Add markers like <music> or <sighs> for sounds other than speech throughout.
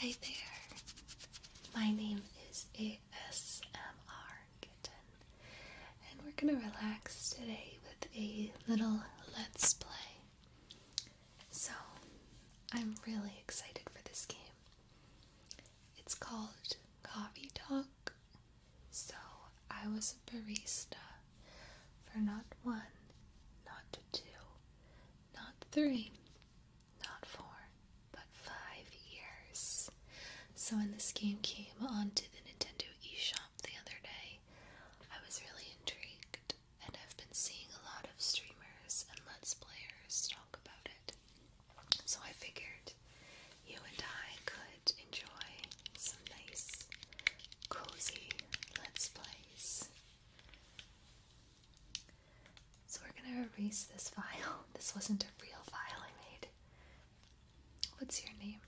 Hi there, my name is ASMR Kitten, and we're gonna relax today with a little let's play. So, I'm really excited for this game. It's called Coffee Talk. So, I was a barista for not one, not two, not three, not four, but five years. So, when this game came onto the Nintendo eShop the other day, I was really intrigued and i have been seeing a lot of streamers and Let's Players talk about it. So I figured you and I could enjoy some nice, cozy Let's Plays. So we're gonna erase this file. <laughs> This wasn't a real file I made. What's your name?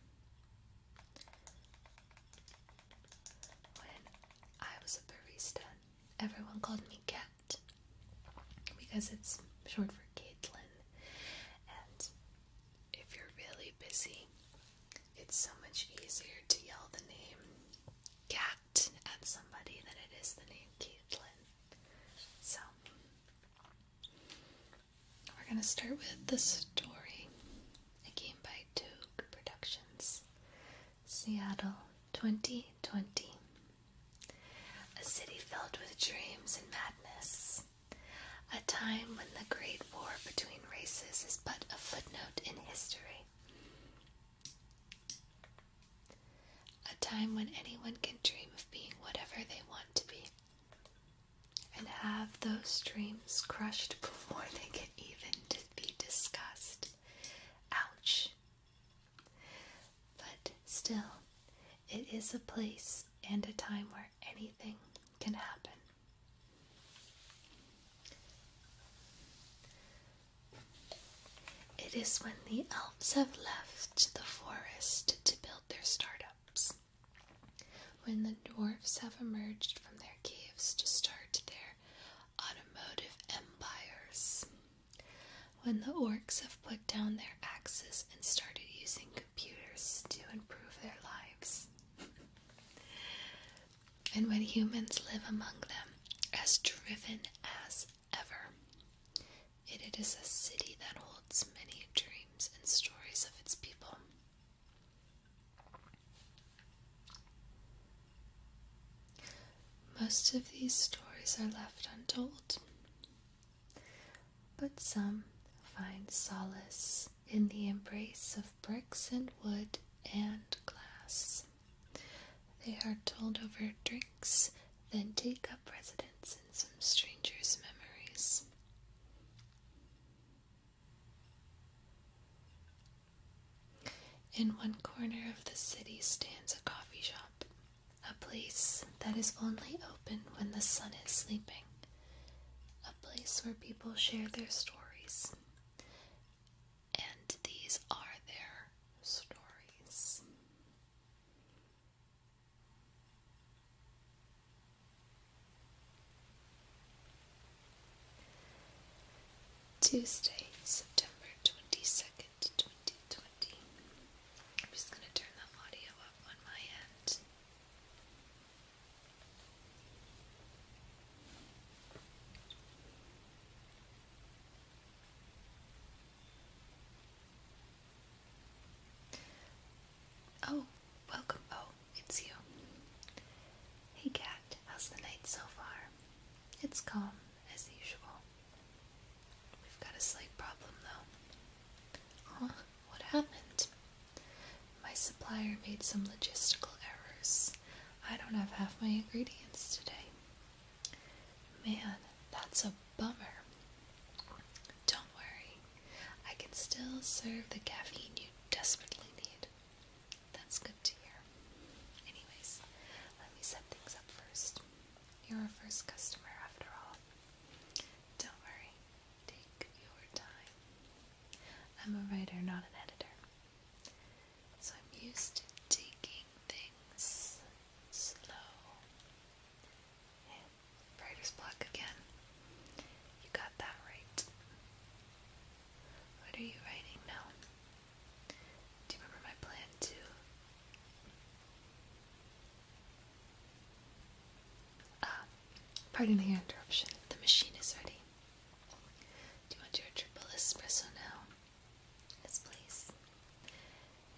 When I was a barista everyone called me Cat because it's short for Caitlin. And if you're really busy, it's so much easier to yell the name Cat at somebody than it is the name Caitlin. So, we're going to start with the story. A Game by Toog Productions. Seattle 2020. A city filled with dreams and madness. A time when the great war between races is but a footnote in history. A time when anyone can dream of being whatever they want to be and have those dreams crushed before they can even be discussed. Ouch. But still, it is a place and a time where anything can happen. It is when the elves have left the forest to build their startups, when the dwarves have emerged from their caves to start their automotive empires. When the orcs have put down their axes and started using computers to improve their lives. <laughs> and when humans live among them as driven as ever. it is a city that holds many dreams and stories of its people. Most of these stories are left untold, but some find solace in the embrace of bricks and wood and glass. They are told over drinks, then take up residence in some stranger's memories. In one corner of the city stands a coffee shop, a place that is only open when the sun is sleeping, a place where people share their stories. And these are their stories. Tuesday, September 22nd, 2020. I'm just going to turn the audio up on my end. Oh, welcome. Oh, it's you. Hey, cat. How's the night so far? It's calm, as usual. We've got a slight problem, though. What happened? My supplier made some logistical errors. I don't have half my ingredients today. Man, that's a bummer. Don't worry, I can still serve the caffeine you desperately need. That's good to hear. Anyways, let me set things up first. You're a first customer after all. Don't worry, take your time. I'm a writer, not an editor. So I'm used to taking things slow. writer's block again. You got that right. What are you writing now? Do you remember my plan too? Ah, pardon the interruption. The machine is ready. Do you want your triple espresso now? Yes, please.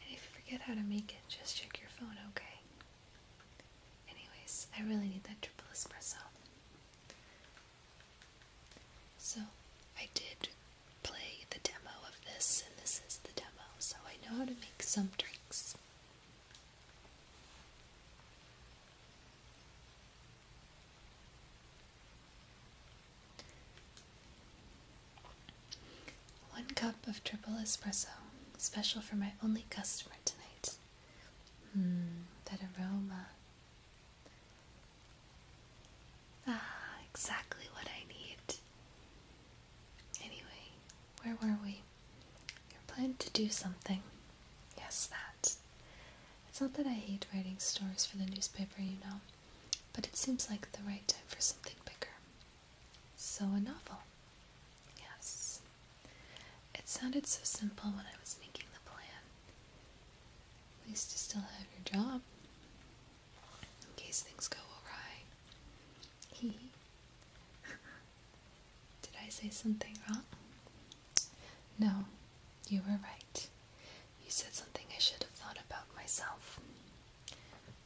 And if you forget how to make it, just check your phone, okay? Anyways, I really need that triple espresso. So I did play the demo of this, and this is the demo, so I know how to make some drinks. One cup of triple espresso, special for my only customer tonight. Hmm, that aroma. Ah, exactly what I need. Anyway, where were we? You're planning to do something. Yes, that. It's not that I hate writing stories for the newspaper, you know, but it seems like the right time for something bigger. So, a novel. Yes. It sounded so simple when I was making the plan, at least you still have your job. In case things go awry. <laughs> Did I say something wrong? No, you were right. You said something I should have thought about myself.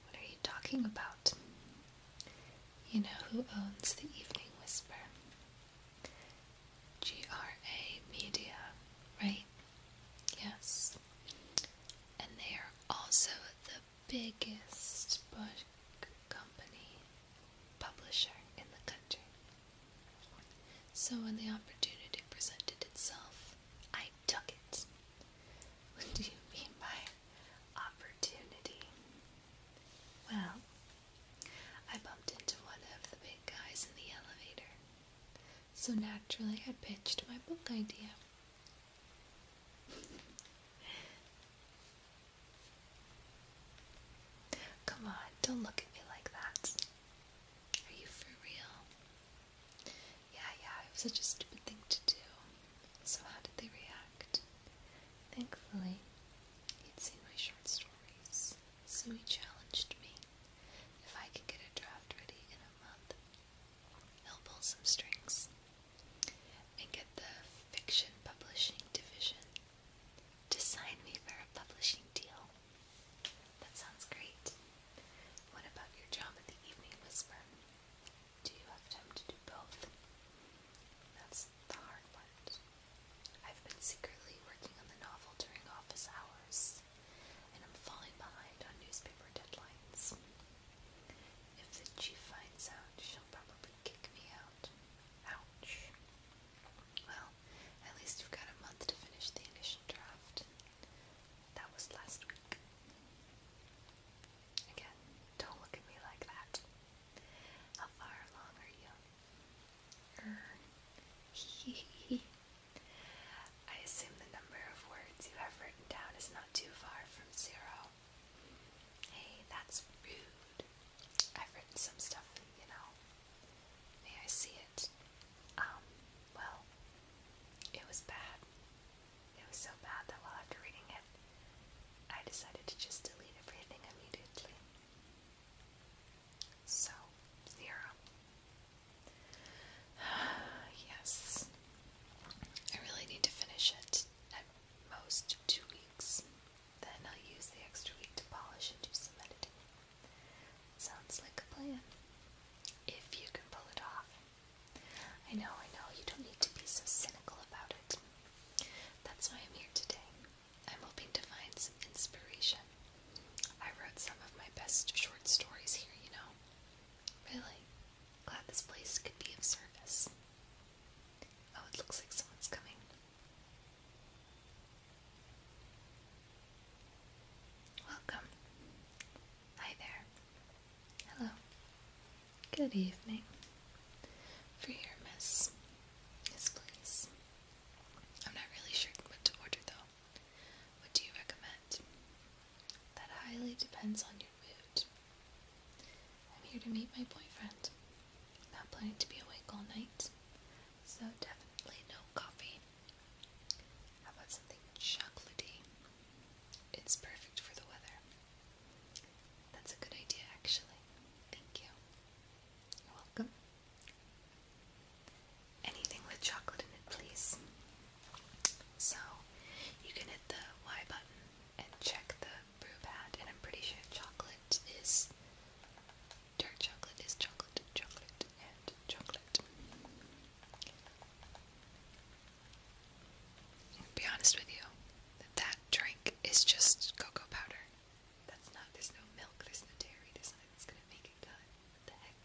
What are you talking about? You know who owns the Evening Whisper? GRA Media, right? Yes. And they are also the biggest book company publisher in the country. So when the opportunity presented itself, I took it. What do you mean by opportunity? Well, I bumped into one of the big guys in the elevator. So naturally, I pitched my book idea. Come on, don't look at me like that. Are you for real? Yeah, yeah, it was such a stupid thing to do. So, how did they react? Thankfully, he'd seen my short stories so he challenged me. If I could get a draft ready in a month, he'll pull some strings and get the fiction publishing division to sign me for a publishing deal. That sounds great. What about your job at the Evening Whisper? Do you have time to do both? That's the hard part. I've been secretly working on the novel during office hours and I'm falling behind on newspaper deadlines. If the chief finds out, she'll probably kick me out. Ouch. Well, at least you've got a month to finish the initial draft. That was last week. Again, don't look at me like that. How far along are you? Er, <laughs> I assume the number of words you have written down is not too far from zero. Hey, that's rude. I've written some stuff, you know. May I see it? Um, well, it was bad. It was so bad that while after reading it, I decided to just delete everything immediately. So, zero. <sighs> yes. I really need to finish it at most two weeks. Then I'll use the extra week to polish and do some editing. Sounds like a plan. If you can pull it off. I know, I know, you don't need to be so cynical about it. That's why I'm here today. I'm hoping to find some inspiration I wrote some of my best short stories here, you know. Really? Glad this place could be of service. Oh, it looks like someone's coming. Welcome. Hi there. Hello. Good evening. For your miss. Yes, please. I'm not really sure what to order though. What do you recommend? That highly depends on your mood. I'm here to meet my boyfriend. Not planning to be awake all night, so definitely no coffee. How about something chocolatey? It's perfect for the weather. That's a good idea, actually. Thank you. You're welcome. Anything with chocolate in it, please. So, you can hit the Y button and check the brew pad, and I'm pretty sure chocolate is dark chocolate is chocolate, chocolate, and chocolate. be honest with you, that drink is just cocoa powder. That's not, there's no milk, there's no dairy, there's nothing that's gonna make you're the heck?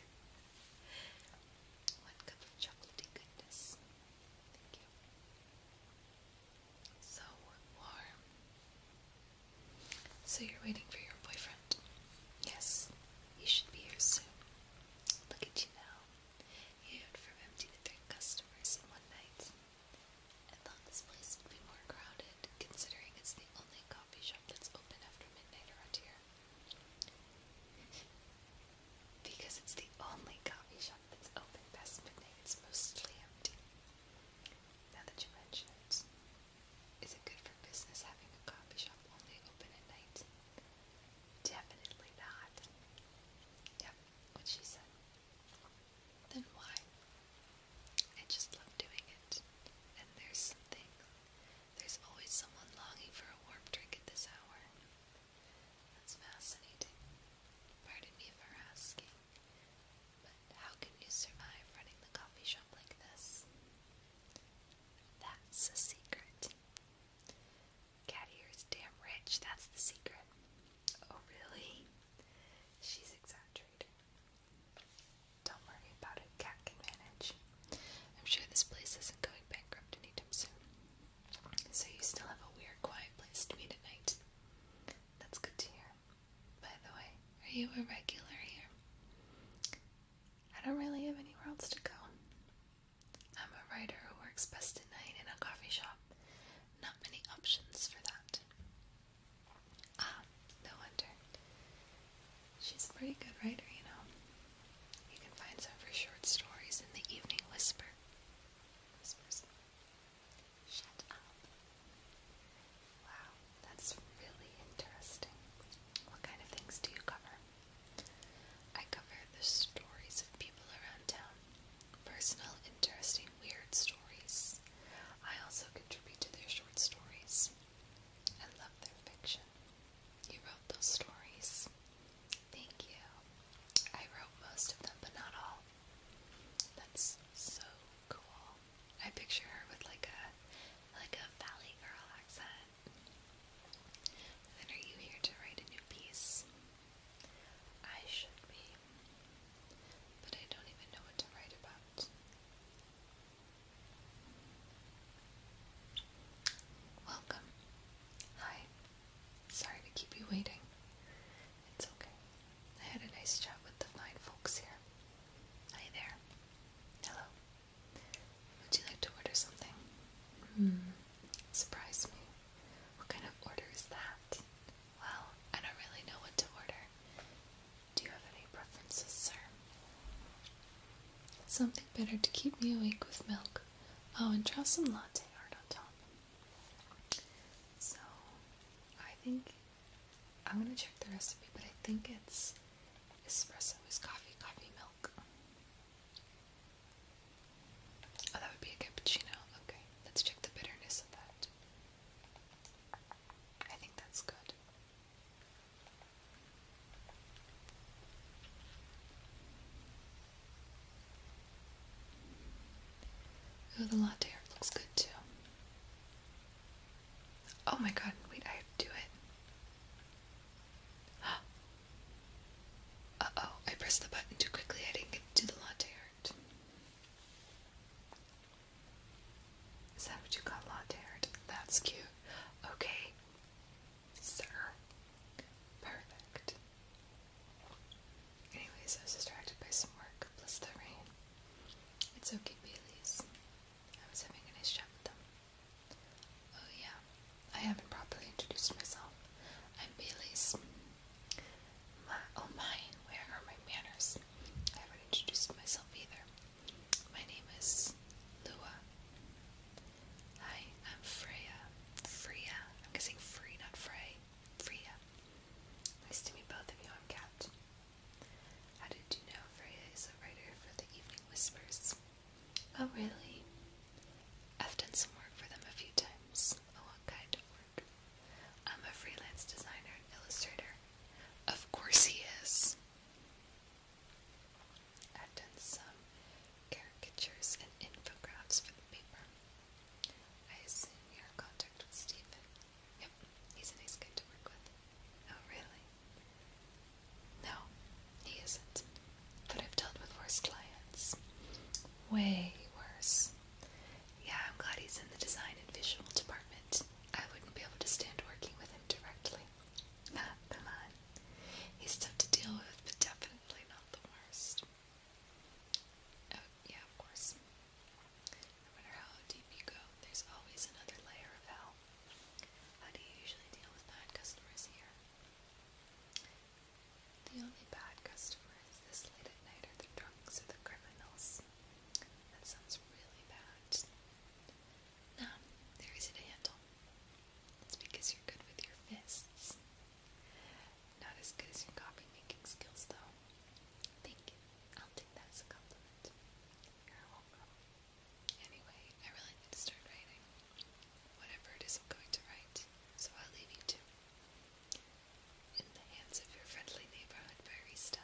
One cup of chocolatey goodness. Thank you. So warm. So you're waiting for your boyfriend? Yes. He should be here soon. Look at you now. You went from empty three customers in one night. I thought this place would be more crowded, considering it's the only coffee shop that's open after midnight around here because it's the only coffee shop that's open past midnight. It's mostly empty. Now that you mention it, is it good for business having a coffee shop only open at night? Definitely not. Yep, what she said. Then why? I just love doing it. And there's something there's always someone longing for a warm drink at this hour. That's fascinating. Pardon me for asking, but how can you survive running the coffee shop like this? That's a secret. Cat here is damn rich, that's the secret. Oh, really? She's exaggerating. Don't worry about it, Cat can manage. I'm sure this place isn't going bankrupt anytime soon. So you still have a weird, quiet place to meet at night. That's good to hear. By the way, are you a regular here? I don't really have anywhere else to go. I'm a writer who works best at night in a coffee shop. Not many options for that. Ah, no wonder. She's a pretty good writer, you know. You can find some of her short stories in The Evening Whisper. Whispers. Shut up. Wow, that's really interesting. What kind of things do you cover? I cover the stories of people around town. Personal, interesting, weird stories. I also contribute to their short stories. I love their fiction. You wrote those stories. Thank you. I wrote most of them, but not all. That's so cool. I picture her with like a like a valley girl accent. then are you here to write a new piece? I should be. But I don't even know what to write about. Welcome. Hi. Sorry to keep you waiting. It's okay. I had a nice chat with the fine folks here. Hi there. Hello. Would you like to order something? Hmm. Surprise me. What kind of order is that? Well, I don't really know what to order. Do you have any preferences, sir? Something better to keep me awake with milk. Oh, and draw some latte art on top. So, I think I'm gonna check the recipe, but I think it's espresso with coffee, coffee milk. Oh, that would be a cappuccino. Okay, let's check the bitterness of that. I think that's good. Oh, the latte art looks good too. Oh my god, wait, I have to do it. <gasps> Uh oh, I pressed the button too quickly. I didn't get to the latte art. Is that what you got, latte art? That's cute. Okay, Sir. Perfect. Anyways, I was distracted by some work. Bless the rain. It's okay, Bailey's. I was having a nice chat with them. Oh yeah, I haven't properly introduced myself. I'm Bailey's. My, oh my, where are my manners? I haven't introduced myself either. My name is Lua. Hi, I'm Freya. Freya. I'm guessing free, not Frey. Freya. Nice to meet both of you. I'm Kat. How did you know Freya is a writer for the Evening Whispers? Oh, really? I've done some work for them a few times. Oh, what kind of work? I'm a freelance designer and illustrator. Of course he is. I've done some caricatures and infographics for the paper. I assume you're in contact with Stephen. Yep, he's a nice guy to work with. Oh, really? No, he isn't. But I've dealt with worse clients. Way worse. Yeah, I'm glad he's in the design and visual department. I wouldn't be able to stand working with him directly. Come on. He's tough to deal with, but definitely not the worst. Oh, yeah, of course. No matter how deep you go, there's always another layer of hell. How do you usually deal with bad customers here? The only bad customers this late at night are the drunks or the criminals. That sounds really bad. No, they're easy handle. It's because you're good with your fists. Not as good as your copy making skills, though. Thank you. I'll take that as a compliment. You're welcome. Anyway, I really need to start writing. Whatever it is I'm going to write, so I'll leave you In the hands of your friendly neighborhood barista.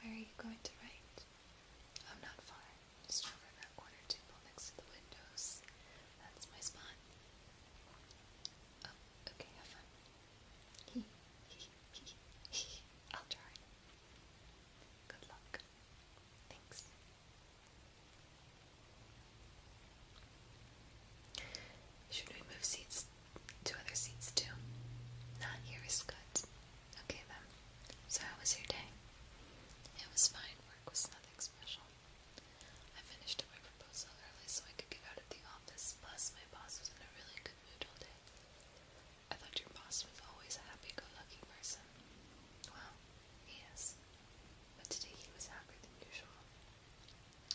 Where are you going to write? I'm not far. Just over that corner table next to the windows. That's my spot. Oh, okay, have fun. He, I'll try. Good luck. Thanks. Should we move seats to other seats too? Not here is good. Okay then. So, how was your day? It was fine, work was nothing special. I finished up my proposal early so I could get out of the office, plus, my boss was in a really good mood all day. I thought your boss was always a happy go lucky person. Well, he is. But today he was happier than usual.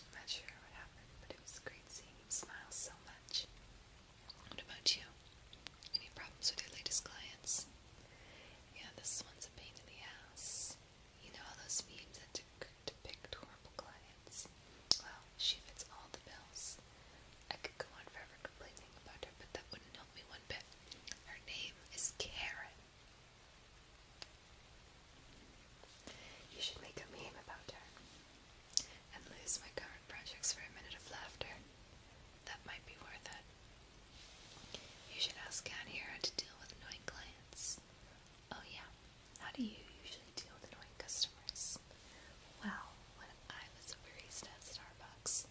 I'm not sure what happened, but it was great seeing him smile so much. What about you? Any problems with your latest clients? Yeah, this one's a pain in the ass. You know all those memes that depict horrible clients? Well, she fits all the bills. I could go on forever complaining about her, but that wouldn't help me one bit. Her name is Karen. You should make a meme about her and lose my current projects for a minute of laughter that might be worth it. You should ask Cat here how to deal with annoying clients. Oh, yeah. How do you usually deal with annoying customers? Well, when I was a barista at Starbucks.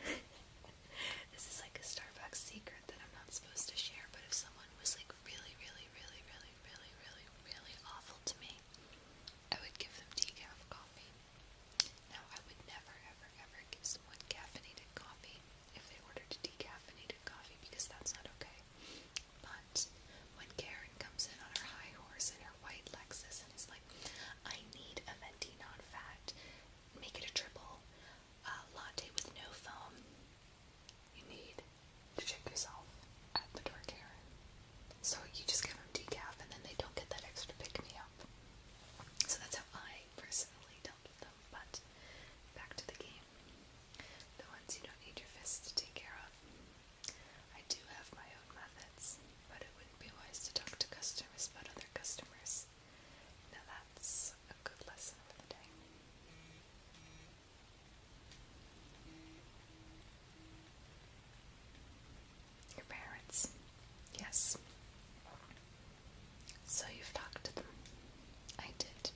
<laughs> this is like a Starbucks secret that I'm not supposed to share, but if someone was like really, really, really, really, really, really, really awful to me, I would give them decaf coffee. Now, I would never, ever, ever give someone caffeinated coffee if they ordered decaffeinated coffee because that's not okay. But when Karen comes in on her high horse and her white Lexus and is like, I need a venti non fat, make it a triple uh, latte with no foam, you need to check yourself at the door, Karen. So you just give them decaf and then they don't get that extra pick me up. So that's how I personally dealt with them. But back to the game. The ones you don't need your fists to take care of. I do have my own methods, but it wouldn't be wise to talk to customers about other customers. Now that's a good lesson for the day. Your parents. Yes. So you've talked to them. I did.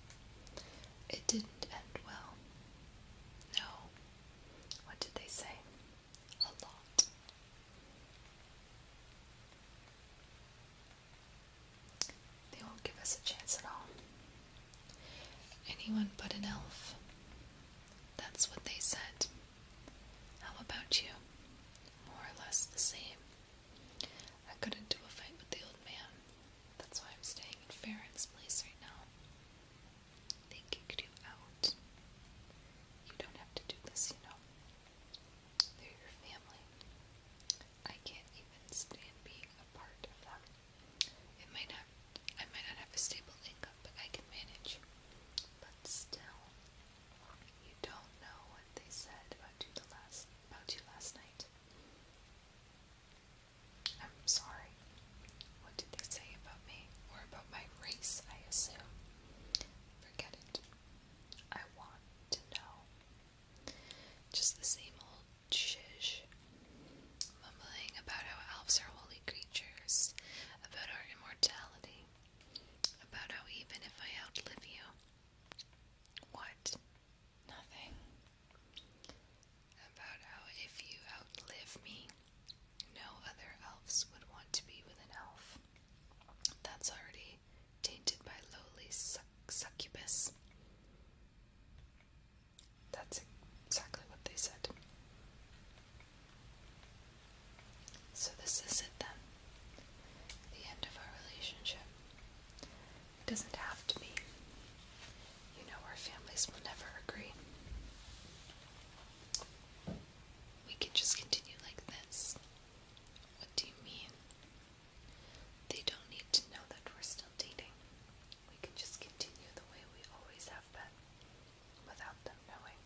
It didn't end well. No. What did they say? A lot. They won't give us a chance at all. Anyone but an elf. That's what they said. How about you? More or less the same. I couldn't do a fight with the old man. That's why I'm staying in Farron's place right now. They kicked you out. You don't have to do this, you know. They're your family. I can't even stand being a part of them. I might not have a stable income, but I can manage but still, you don't know what they said about you last about you last night. I'm sorry. What did they say about me or about my race? I assume. Forget it. I want to know. Just the same old shish, mumbling about how elves are holy creatures, about our immortality, about how even if I outlive you, what? Nothing. About how if you outlive me, no other elves would want to be with an elf. That's already tainted by lowly succubus. That's exactly what they said. So, this is it then. The end of our relationship. It doesn't have to be. You know, our families will never agree. We can just continue like this. What do you mean? They don't need to know that we're still dating. We can just continue the way we always have been without them knowing.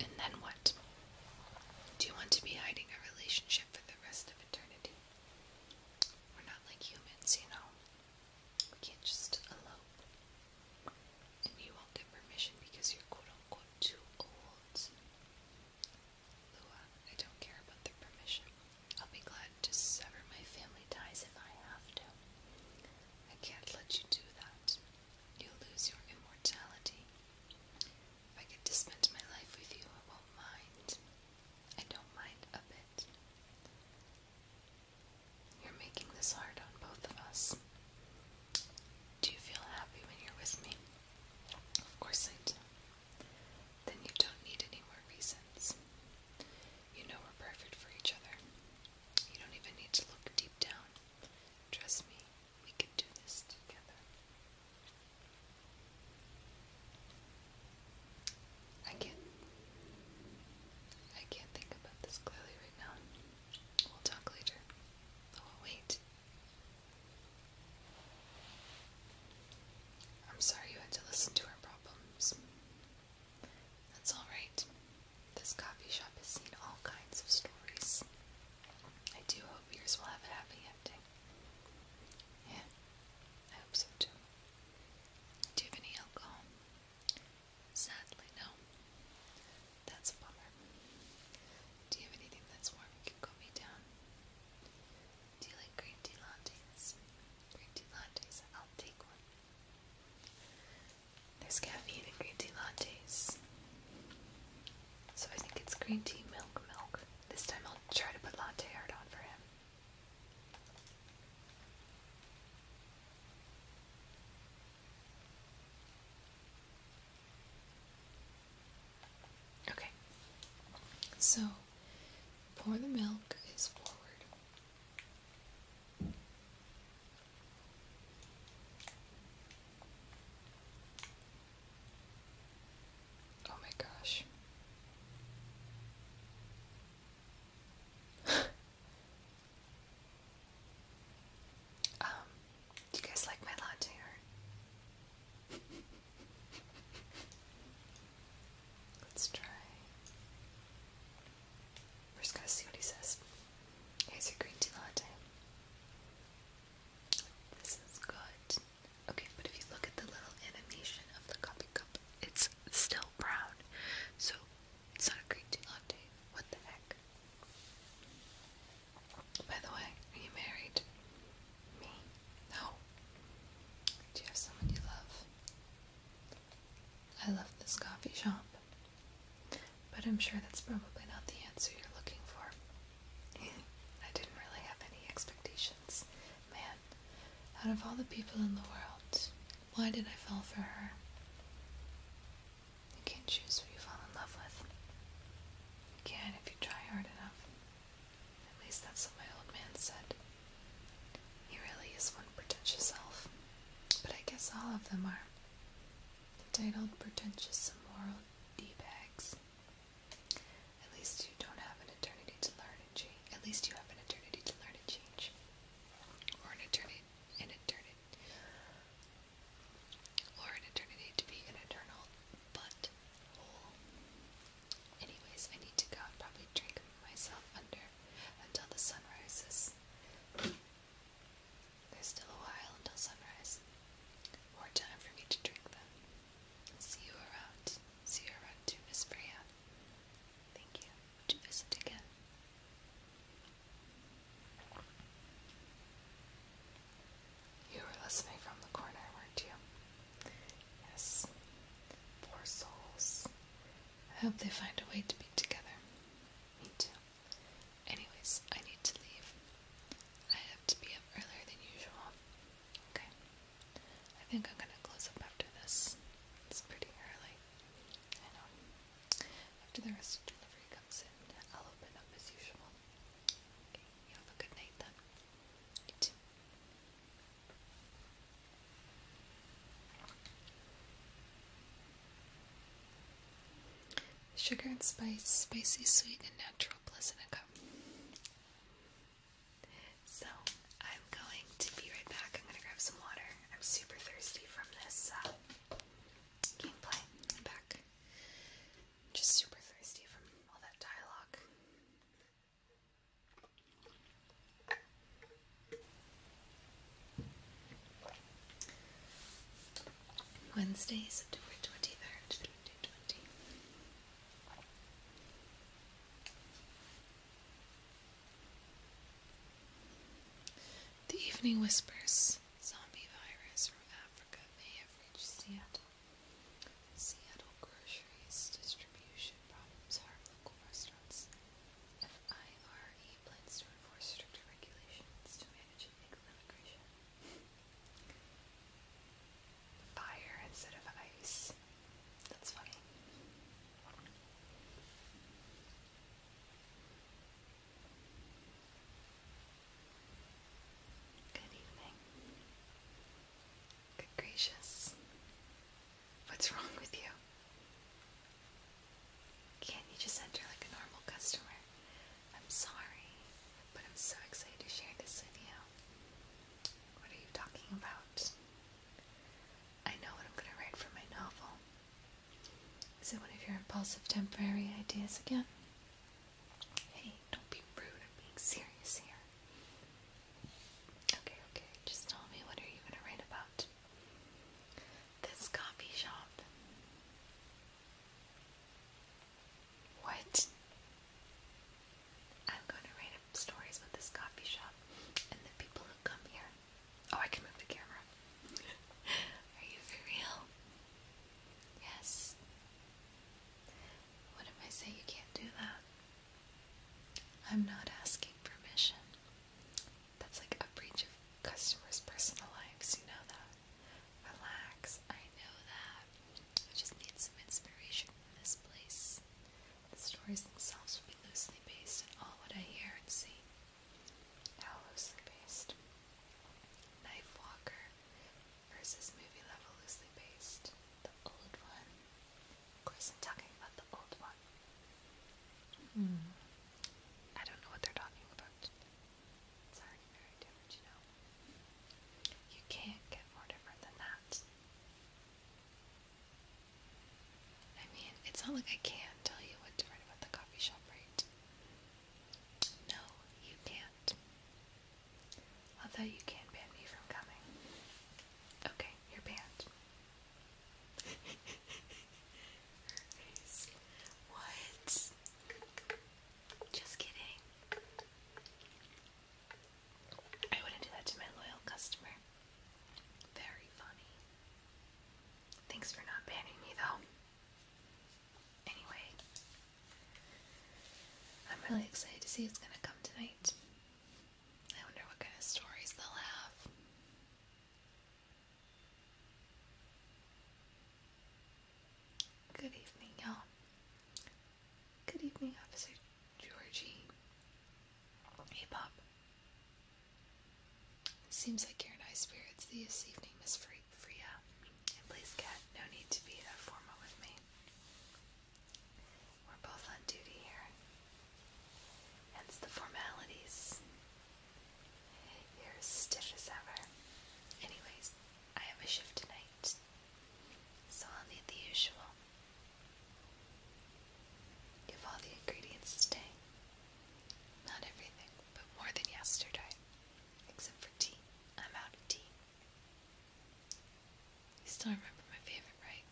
And then what? Do you want to be hiding a relationship for the rest of eternity? We're not like humans, you know. We can't just elope. And you won't get permission because you're quote unquote too old. Lua, I don't care about their permission. I'll be glad to sever my family ties if I have to. I can't let you do that. You'll lose your immortality. If I get to spend my life with you, I won't mind. I don't mind a bit. You're making this hard on both of us. Do you feel happy when you're with me? Of course I do. Then you don't need any more reasons. You know we're perfect for each other. You don't even need to look deep down. Trust me, we can do this together. I can't. I can't think about this clearly right now. We'll talk later. Oh, wait. I'm sorry you had to listen to our problems. That's alright. This coffee shop has seen all kinds of stories. I do hope yours will have a happy ending. Yeah, I hope so too. Do you have any alcohol? Sadly, no. That's a bummer. Do you have anything that's warm and can me down? Do you like green tea lattes? Green tea lattes, I'll take one. There's caffeine in green tea lattes. So I think it's green tea, milk, milk. This time I'll try to put latte art on for him. Okay, so pour the milk is forward Oh my gosh. <laughs> Um, do you guys like my latte <laughs> Let's try we're just gonna see what he says. Here's your green tea latte. This is good. Okay, but if you look at the little animation of the coffee cup, it's still brown. So it's not a green tea latte. What the heck? By the way, are you married? Me? No. Do you have someone you love? I love this coffee shop. But I'm sure that's probably not the answer you're looking for. <laughs> I didn't really have any expectations. Man, out of all the people in the world, why did I fall for her? You can't choose who you fall in love with. You can if you try hard enough. At least that's what my old man said. He really is one pretentious self. But I guess all of them are. Entitled Pretentious some Immoral D-Bags. At least you don't have an eternity to learn and change. At least you have an eternity to learn and change. Or an eternity, an eternity. Or an eternity to be an eternal but whole. Anyways, I need to go probably drink myself under until the sun rises. There's still a while until sunrise. More time for me to drink them. See you around. See you around Miss Freya. Thank you. Would visit again? You were listening from the corner, weren't you? Yes. Poor souls. I hope they find a way to be together. Me too. Anyways, I need to leave. I have to be up earlier than usual. Okay. I think I'm gonna close up after this. It's pretty early. I know. After the rest of the delivery comes in, I'll open up as usual. Okay, you have a good night then. You too. Sugar and spice, spicy, sweet, and natural placentica. So, I'm going to be right back. I'm going to grab some water. I'm super thirsty from this uh, gameplay. back. just super thirsty from all that dialogue. Wednesday, September 23rd, 2020. The evening whispers zombie virus from Africa may have reached Seattle. Seattle groceries distribution problems harm local restaurants. FIRE plans to enforce stricter regulations to manage illegal immigration. Fire instead of ice. That's funny. Good evening. Good gracious. What's wrong with you? Can't you just enter like a normal customer? I'm sorry, but I'm so excited to share this with you. What are you talking about? I know what I'm going to write for my novel. Is it one of your impulsive temporary ideas again? Hey, don't be rude. I'm being serious here. Okay, okay. Just tell me what are you going to write about? This coffee shop. What? I'm going to write stories about this coffee shop and the people who come here. Oh, I can move the camera. <laughs> Are you for real? Yes. What if I say you can't do that? I'm not asking permission. That's like a breach of customers' personal lives, you know that. Relax, I know that. I just need some inspiration from this place. The stories themselves will be loosely based on all what I hear and see. How loosely based? Knife Walker versus movie level loosely based. The old one. Of course, I'm talking about the old one. I don't know what they're talking about. It's already very different, you know. You can't get more different than that. I mean, it's not like I can not tell you what's different about the coffee shop, right? No, you can't. Although you can ban me from coming. Okay, you're banned what? Just kidding. I wouldn't do that to my loyal customer. Very funny. Thanks for not banning me though. Anyway, I'm really excited to see what's gonna come tonight. I wonder what kind of stories they'll have. Good evening, y'all. Good evening, Officer Georgie. Hey, Pop. Seems like you're in high spirits this evening, Miss Fre Freya. And please, Cat, no need to be that formal with me. We're both on duty here. Hence the formalities. You're stiff as ever. Anyways, I have a shift tonight, so I'll need the usual. You have all the ingredients today. Not everything, but more than yesterday. Except for tea. I'm out of tea. You still remember my favorite, right?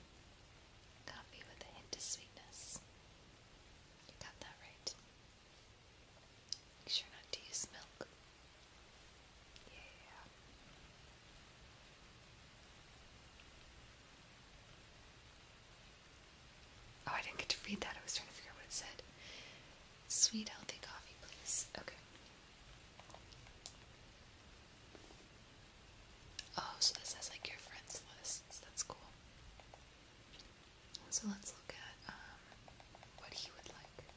Coffee with a hint of sweetness. You got that right. Make sure not to use milk. Yeah. Oh, I didn't get to read that. I was trying to figure out what it said. Sweet, healthy coffee, please. Okay. Oh, so this has like your friends lists. That's cool. So let's look at um, what he would like.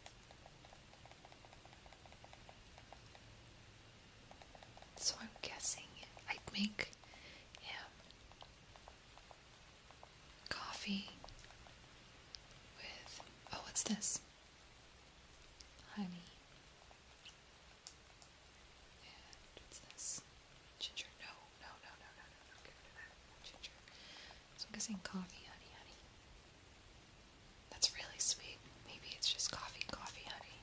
So I'm guessing I'd make yeah, coffee with. Oh, what's this? Honey. what's this? Ginger, no, no, no, no, no, no, no, Ginger. I'm guessing coffee, honey, honey. That's really sweet. Maybe it's just coffee, coffee, honey.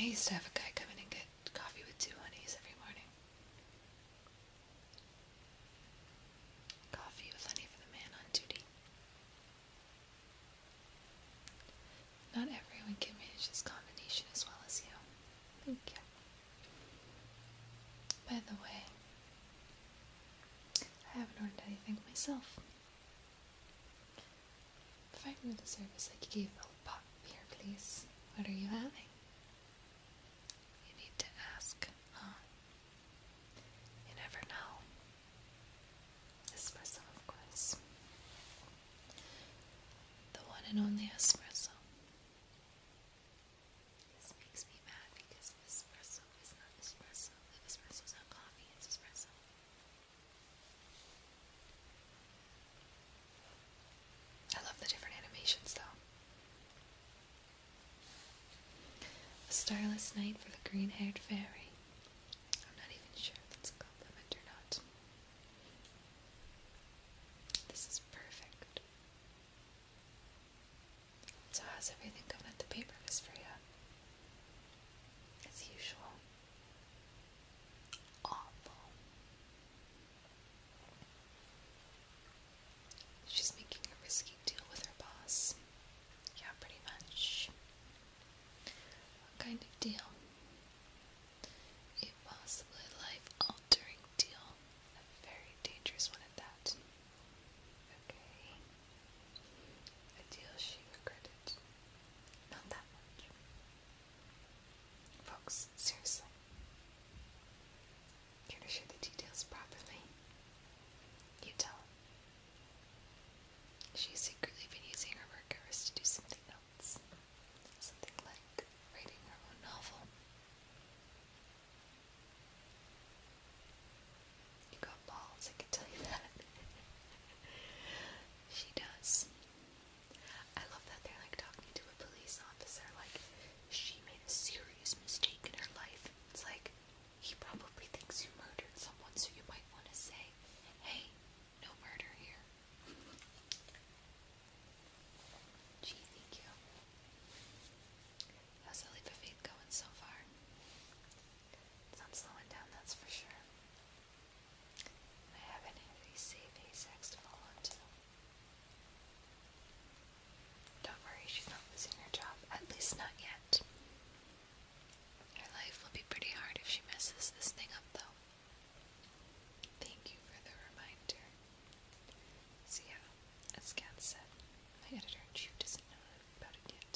I used to have a guy come in and get coffee with two honeys every morning. Coffee with honey for the man on duty. Not everyone can manage this combination as well as you. Thank you. By the way, I haven't ordered anything myself. Provide me with the service like you gave old Pop here, please. What are you having? You need to ask, You never know. Espresso, of course. The one and only espresso. This makes me mad because espresso is not espresso. Espresso is not coffee, it's espresso. I love the different animations though. A starless night for the green haired fairy. I'm not even sure that's a compliment or not. This is perfect. So, how's everything going at the paper, Miss Freya? As usual. Awful. She's making a risky deal with her boss. Yeah, pretty much. What kind of deal? A possibly life altering deal. A very dangerous one at that. Okay. A deal she regretted. Not that much. Folks, seriously. Care to share the details properly? You tell. She's secretly been using her work hours to do something else. Something like reading her own novel. You got balls, I can tell you that. <laughs> she does. I love that they're like talking to a police officer, like she made a serious mistake in her life. It's like he probably thinks you murdered someone, so you might want to say, hey, no murder here. Gee, thank you. How's the leap going so far? It's not slowing down, that's for sure. I haven't had any save ASACs to fall onto. Don't worry, she's not losing her job, at least not yet. Her life will be pretty hard if she messes this thing up, though. Thank you for the reminder. So yeah, as said, my editor in doesn't know about it yet.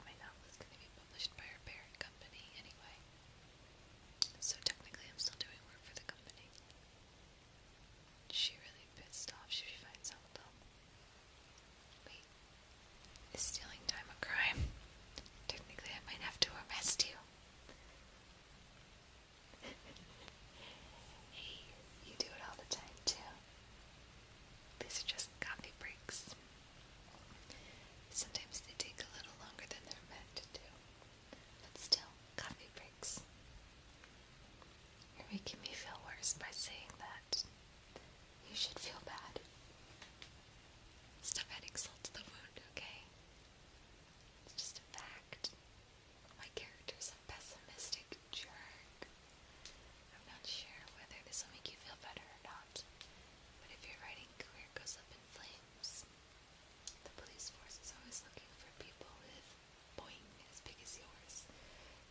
my novel is going to be published by our parent company anyway. So technically I'm still doing work for the company. She really pissed off if she finds out Wait, is stealing time a crime? Technically, I might have to arrest you. <laughs> hey, you do it all the time too. These are just coffee breaks. Sometimes they take a little longer than they're meant to But still, coffee breaks. You're making me feel worse by saying that. You should feel bad. Stop adding salt to the wound, okay? It's just a fact. My character's a pessimistic jerk. I'm not sure whether this will make you feel better or not, but if your writing career goes up in flames, the police force is always looking for people with boing as big as yours.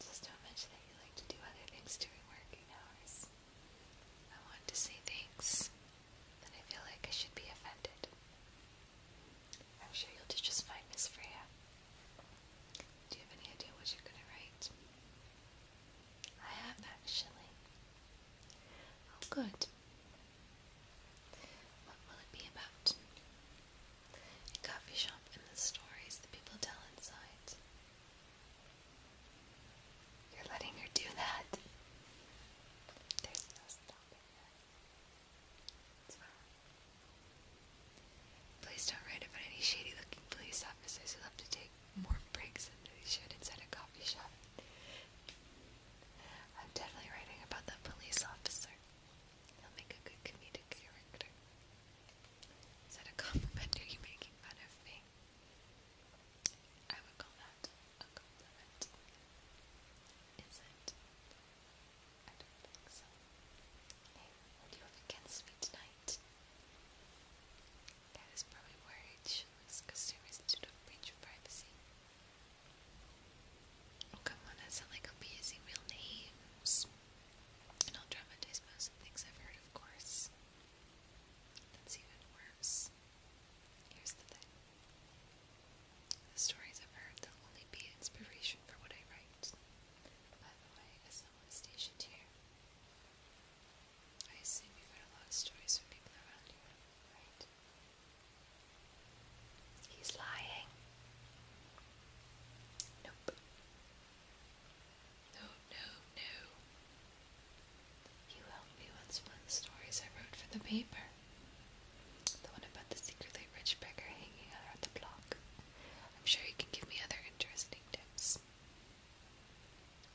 Just don't mention that you like to do other things during working hours. I want to say things, and I feel like I should be offended. I'm sure you'll just find Miss Freya. Do you have any idea what you're going to write? I have, actually. Oh, good. What will it be about? A coffee shop and the stories the people tell inside. You're letting her do that. There's no stopping her. Please don't write about any shady looking police officers who love to take more breaks than they should inside a coffee shop. I'm definitely writing about that police officer. He'll make a good comedic character. Is that a compliment? Are you making fun of me? I would call that a compliment. Is it? I don't think so. what do you have against me tonight? That is probably worried she looks consumers to the breach of privacy. Oh come on, that sounds like I'll using real names. And I'll dramatize most of the things I've heard, of course. That's even worse here's the thing the stories I've heard will only be inspiration for what I write. By the way, as someone stationed here, I assume you've heard a lot of stories from people around you, right? He's lying. Nope. No, no, no. You helped me with stories I wrote for the paper. The one about the secretly rich beggar hanging out on the block. I'm sure you can give me other interesting tips.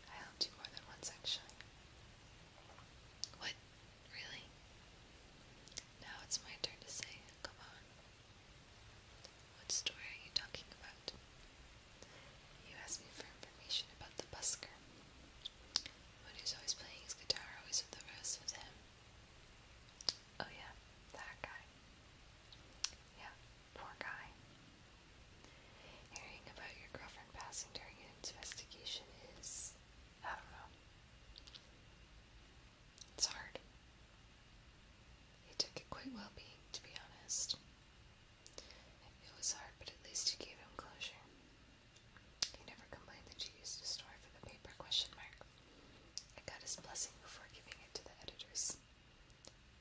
I helped you more than once, actually. What? Really? Now it's my turn to say, come on. What story are you talking about? You asked me for information about the busker. who's always playing his guitar, always with the rest with him. Oh yeah, that guy. Yeah, poor guy. Hearing about your girlfriend passing during an investigation is... I don't know. It's hard. He took it quite well being, to be honest. It was hard, but at least it gave him closure. He never complained that she used a story for the paper question mark. I got his blessing before giving it to the editors.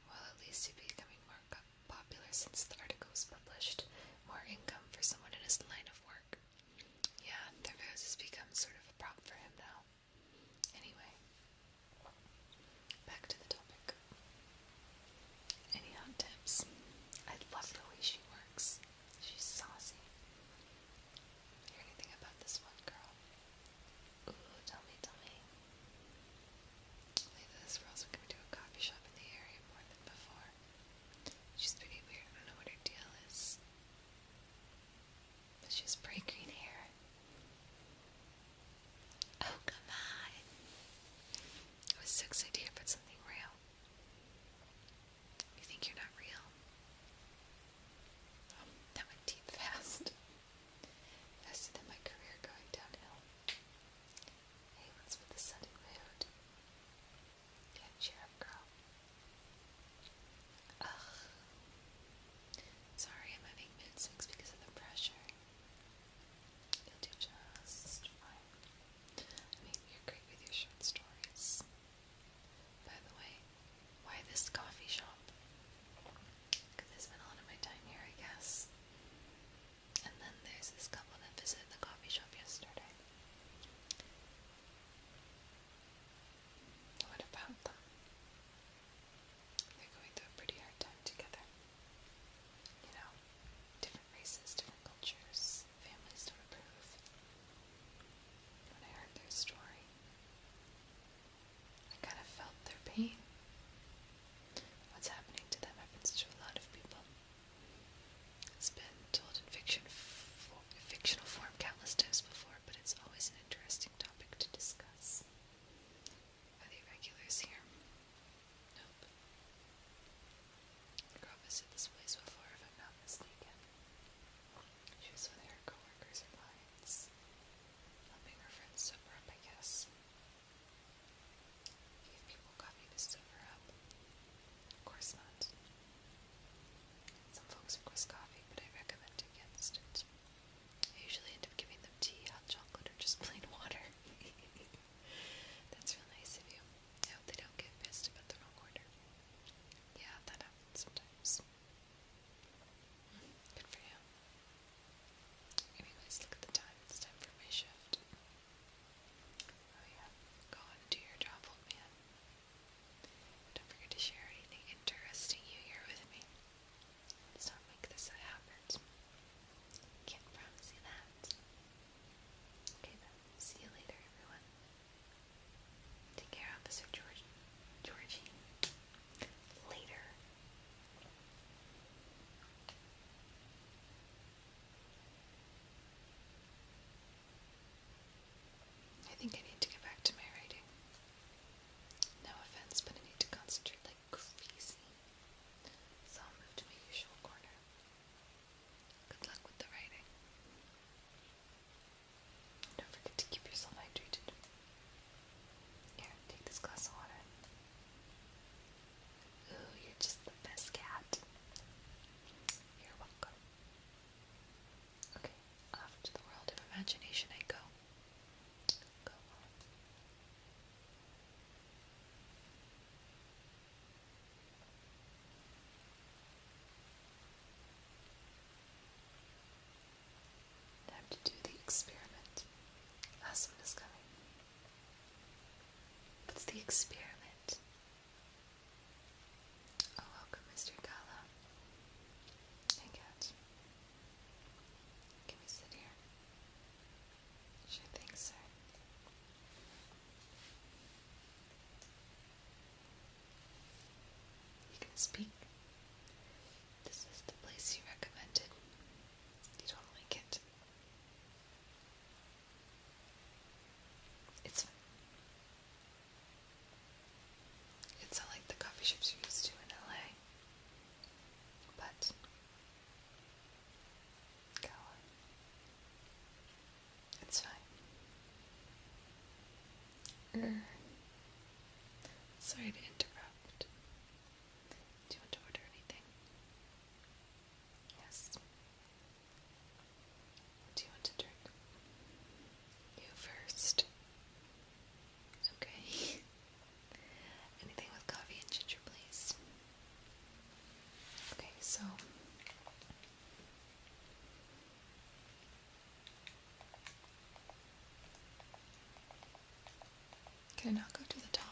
Well, at least he'd becoming more popular since the article was published. More income for someone in his line of work. Yeah, their vows has become sort of a problem for him now. Anyway, back to the topic. Any hot tips? I love the way she works. She's saucy. Hear anything about this one girl? Ooh, tell me, tell me. this we going to a coffee shop in the area more than before. She's pretty weird. I don't know what her deal is. But she has bright green hair. Oh, come on. I was so excited to put something real. You think you're not real? Um, that went deep fast. Faster than my career going downhill. Hey, what's with the sudden mood? Yeah, cheer up, girl. Ugh. Sorry, I'm having mood swings because of the pressure you do just fine. I mean, you're great with your short stories. By the way, why this coffee shop? Because I spend a lot of my time here, I guess. And then there's this couple that visited the coffee shop yesterday. What about them? They're going through a pretty hard time together you know, different races, different cultures, families don't approve. When I heard their story, I kind of felt their pain. What's happening to them happens to a lot of people. It's been told in fiction, fictional form countless times before, but it's always an interesting topic to discuss. Are the regulars here? Nope. Girl visited this place before, if I'm not mistaken. She was with her coworkers or clients, helping her friends sober up, I guess. Give people coffee to sober up. Of course not. Some folks request coffee, but I recommend against it. I usually end up giving them tea, hot chocolate, or just <laughs> plain water. <laughs> That's real nice of you. I they don't get pissed about the wrong order. Yeah, that happens sometimes. Hmm, good for you. Anyways, look at the time. It's time for my shift. Oh yeah. Go on do your job, old man. Don't forget to share anything interesting you hear with me. Let's not make this a habit. Can't promise that. Okay then, see you later everyone. Take care, Officer George Georgie. Later. I think I need to get back to my writing. No offense, but I need to concentrate crazy. So I'll to my usual corner. Good luck with the writing. Don't forget to keep yourself hydrated. Here, take this glass of water. Ooh, you're just the best cat. You're welcome. Okay, off to the world of imagination I go. Go on. Time to do the experiment. Last one is coming. What's the experiment? Oh, welcome, Mr. Gala. Hey, cat. Can we sit here? Sure thing, sir. You can speak. This is the place you recommended. You don't like it. It's It's not like the coffee shops you are used to in LA, but Go It's fine. Er, sorry to interrupt. Do you want to order anything? Yes. do you want to drink? You first. Okay. <laughs> Anything with coffee and ginger, please. Okay, so can I not go to the top?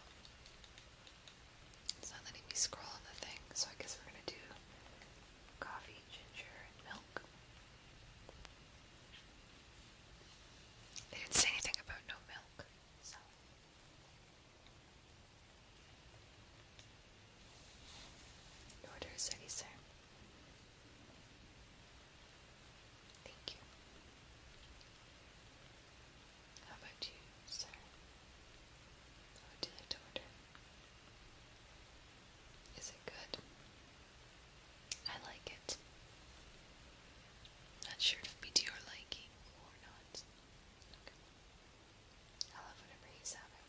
It's not letting me scroll on the thing, so I guess we're gonna do coffee, ginger, milk. They didn't say anything about no milk, Order is ready, sir. Thank you. How about you, sir? How would you like to order? Is it good? I like it. Not sure if it to your liking or not. I love whenever he's having.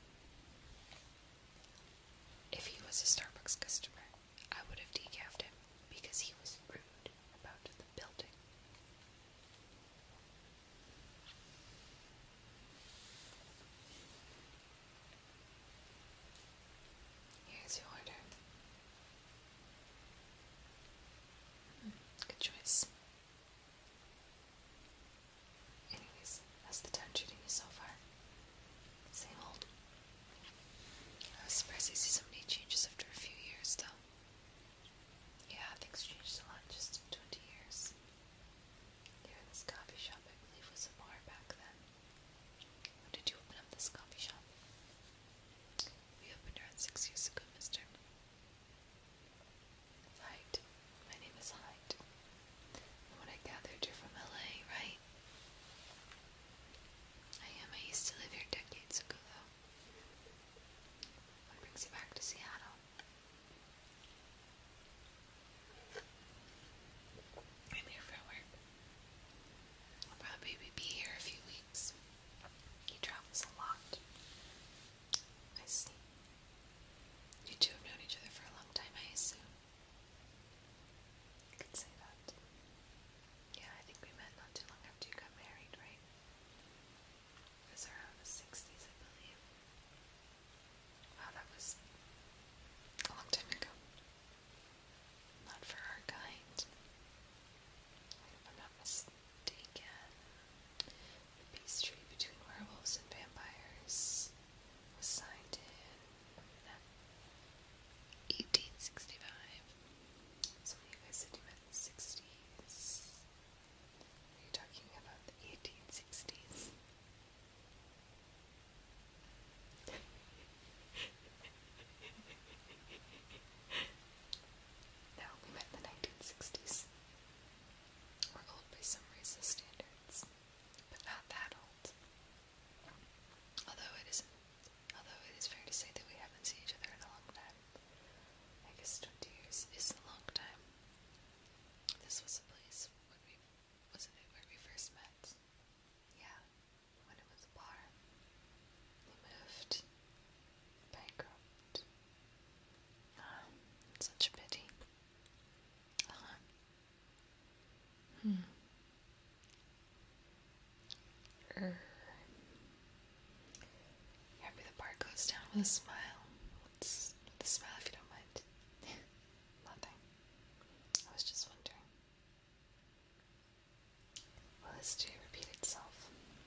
If he was a Starbucks customer, I would have decafed him because he was rude about the building. Here's your order. good choice. Anyways, how's the town treating you so far? Same old. I was surprised to see so many changes after a few years, though. Yeah, things changed a lot just in 20 years. Here in this coffee shop, I believe, was a bar back then. did you open up this coffee shop? We opened around six years ago, mister. Hyde. My name is Hyde. And when I gathered you're from LA, right? I am. I used to live here decades ago, though. What brings you back to Seattle? I'm here for work. probably be here a few weeks. He travels a lot. I see. You two have known each other for a long time, I assume. You could say that. Yeah, I think we met not too long after you got married, right? It was around the 60s, I believe. Wow, that was a long time ago. Not for our kind. If I'm not mistaken. The peace treaty between werewolves and vampires was signed in 1865. So you guys said you meant 60s. Are you talking about the 1860s? <laughs> Now we met in the 1960s. We're old by some racist standards, but not that old. Although it is, although it is fair to say that we haven't seen each other in a long time. I guess 20 years is a long time. This was a place when we, wasn't it where we first met? Yeah, when it was a bar. We moved, bankrupt, <sighs> such a pity. Uh the bar goes down with a smile. What's with smile if you don't mind? <laughs> Nothing. I was just wondering. Will this day repeat itself?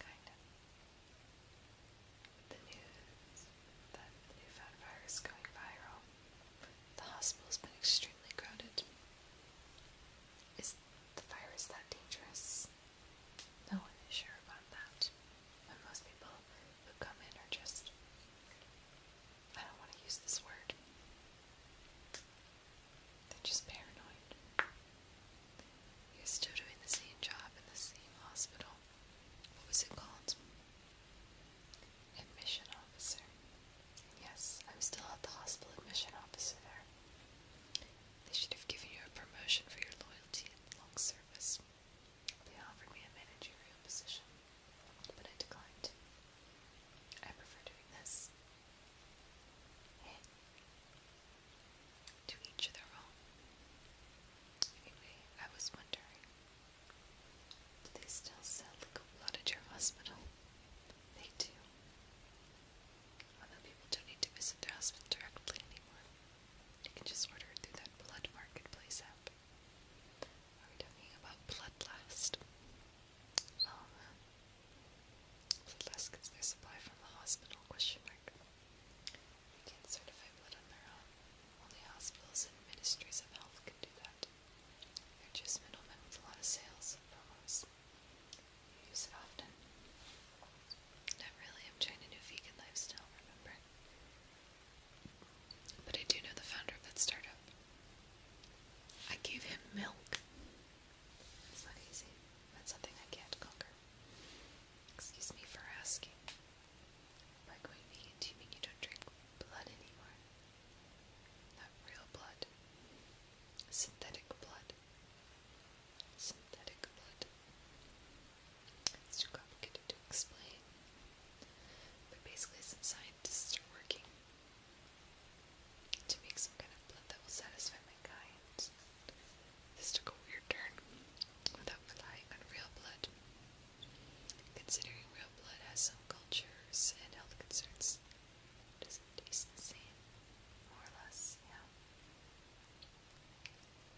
kind of. The news that the newfound virus is going viral. The hospital's been extremely crowded. Is the virus that dangerous? No one is sure about that. And most people who come in are just. I don't want to use this word. They're just paranoid. you still doing the same job in the same hospital what was it called? Admission officer. Yes, I'm still at the hospital admission officer there. They should have given you a promotion for your loyalty and long service. They offered me a managerial position, but I declined. I prefer doing this. To each their own. Anyway, I was wondering, do they still sell blood at your hospital? They do. Although people don't need to visit their hospital directly anymore. You can just order through that blood marketplace app. Are we talking about Bloodlust? Oh, Bloodlust gets their supply from the hospital, question mark. They can certify blood on their own. Only hospitals and ministries of health can do that. They're just middlemen with a lot of sales and promos. You use it often. I'm trying a new vegan lifestyle, remember? But I do know the founder of that startup. I gave him milk. It's not easy. That's something I can't conquer. Excuse me for asking. By going vegan, do you mean you don't drink blood anymore? Not real blood. Synthetic blood. Synthetic blood. It's too complicated to explain. But basically, some scientists are working to make some kind of blood that will satisfy my kind. This took a weird turn without relying on real blood. Considering real blood has some cultures and health concerns, does it taste the same? More or less,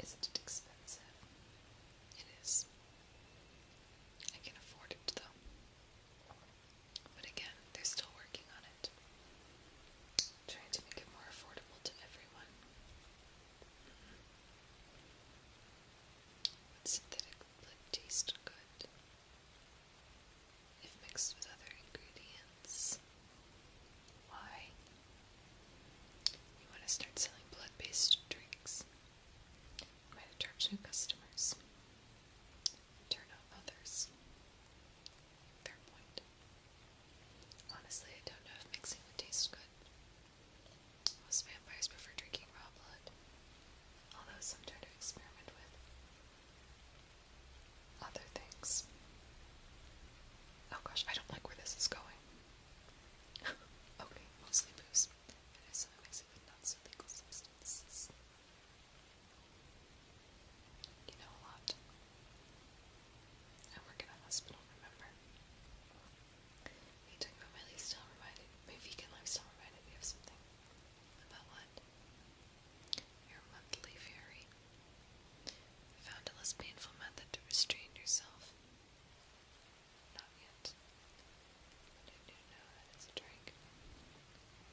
is it expensive? It is. I can afford it though. But again, they're still working on it. Trying to make it more affordable to everyone. Would synthetic blood taste good if mixed with other ingredients? Why? You want to start selling blood based drinks? might attract new customers, turn off others. Third point. Honestly, I don't know if mixing would taste good. Most vampires prefer drinking raw blood, although some try to experiment with other things. Oh gosh, I don't like where this is going. <laughs> okay, mostly booze. And if someone not so legal substances. You know a lot. I work in a hospital, remember? He talking about my lifestyle reminded my vegan lifestyle reminded me of something. About what? Your monthly fairy. Found a less painful method to restrain yourself. Not yet. I do know it's a drink.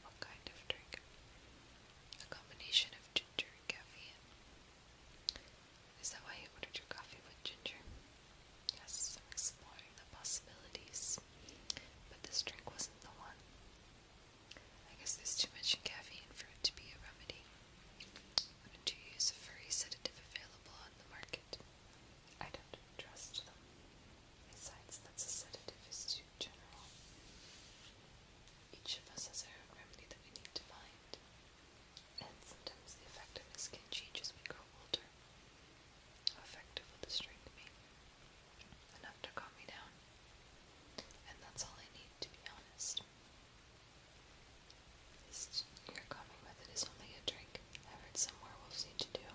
What kind of drink? A combination of ginger and caffeine. Is that why you ordered your coffee with ginger? Yes, I'm exploring the possibilities. But this drink wasn't the one. I guess there's too much caffeine for it to be a remedy. Wouldn't you use a furry sedative available on the market? I don't trust them. Besides, that's sedative is too general. Each of us has our own remedy that we need to find and sometimes the effectiveness can change as we grow older. effective will this drink Enough to calm me down. And that's all I need, to be honest. This your calming method is only a drink. I read somewhere we'll see to do.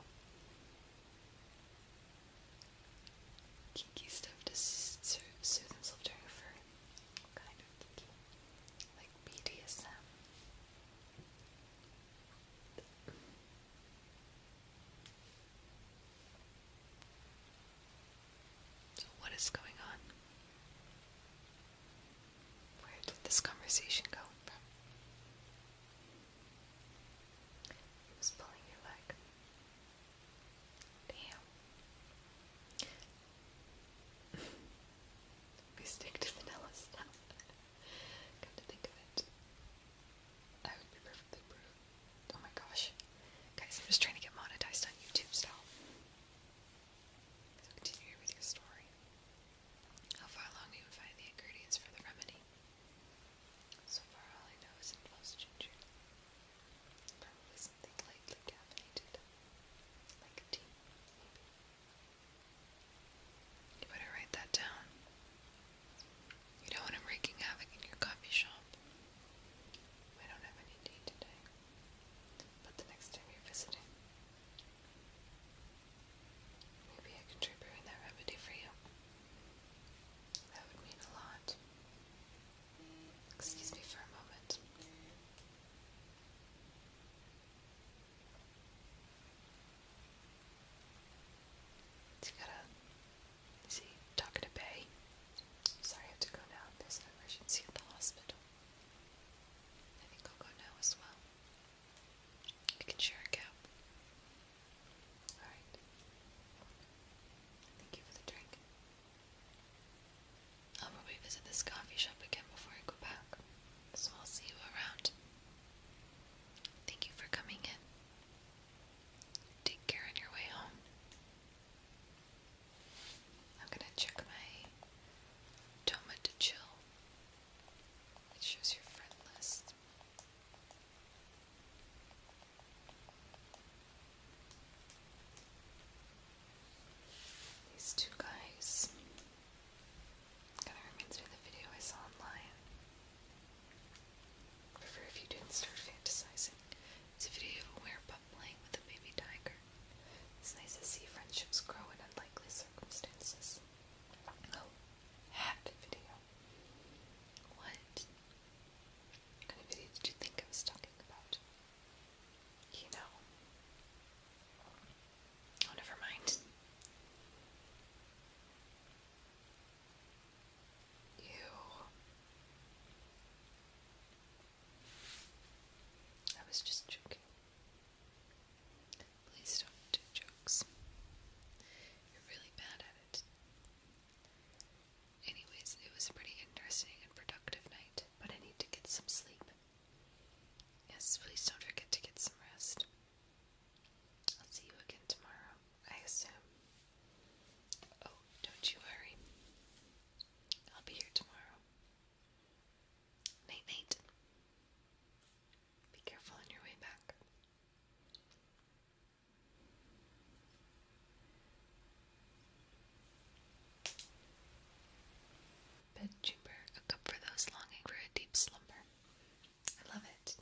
Kiki stuffed to soothe himself during a fur kind of geeky, like BDSM. So, what is going on? Where did this conversation go from? He was pulling your leg. Damn we <laughs> stick to vanilla stuff. <laughs> Come to think of it, I would be perfectly proof. Oh my gosh, guys! I'm just trying to get monetized on YouTube still. So continue with your story. How far along do you find the ingredients for the remedy? So far, all I know is it involves ginger. Probably something lightly caffeinated, like tea. You better write that down. You don't want him wreaking havoc in your coffee shop. I don't have any tea today, but the next time you're visiting, maybe I can try that remedy for you. That would mean a lot. Excuse me for a moment. It's got a, see, tucked a bay. Sorry, I have to go now. There's an emergency at the hospital. I think I'll go now as well. We can share a cap. Alright. Thank you for the drink. I'll probably visit this coffee shop again before I go back, so I'll see you around. Thank you for coming in. Take care on your way home. I'm gonna check my Toma to Chill. It shows your friend list. These two guys. Kind of reminds me of the video I saw online. prefer if you didn't start fantasizing. It's a video of a werepup playing with a baby tiger. It's nice to see friendships grow in unlikely circumstances. Oh, hat video. What kind of video did you think I was talking about? you know. Oh, never mind. You. I was just joking. Please don't do jokes. You're really bad at it. Anyways, it was a pretty interesting and productive night, but I need to get some sleep. Yes, please don't forget to get some rest. I'll see you again tomorrow, I assume. Oh, don't you worry. I'll be here tomorrow. Night, night. Be careful on your way back bed chamber, a cup for those longing for a deep slumber. I love it.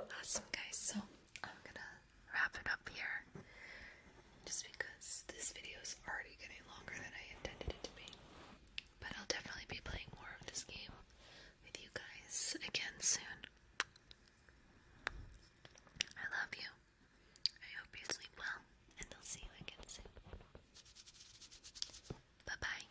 Awesome, guys. So I'm gonna wrap it up here just because this video is already getting longer than I intended it to be. But I'll definitely be playing more of this game with you guys again soon. I love you. I hope you sleep well, and I'll see you again soon. Bye bye.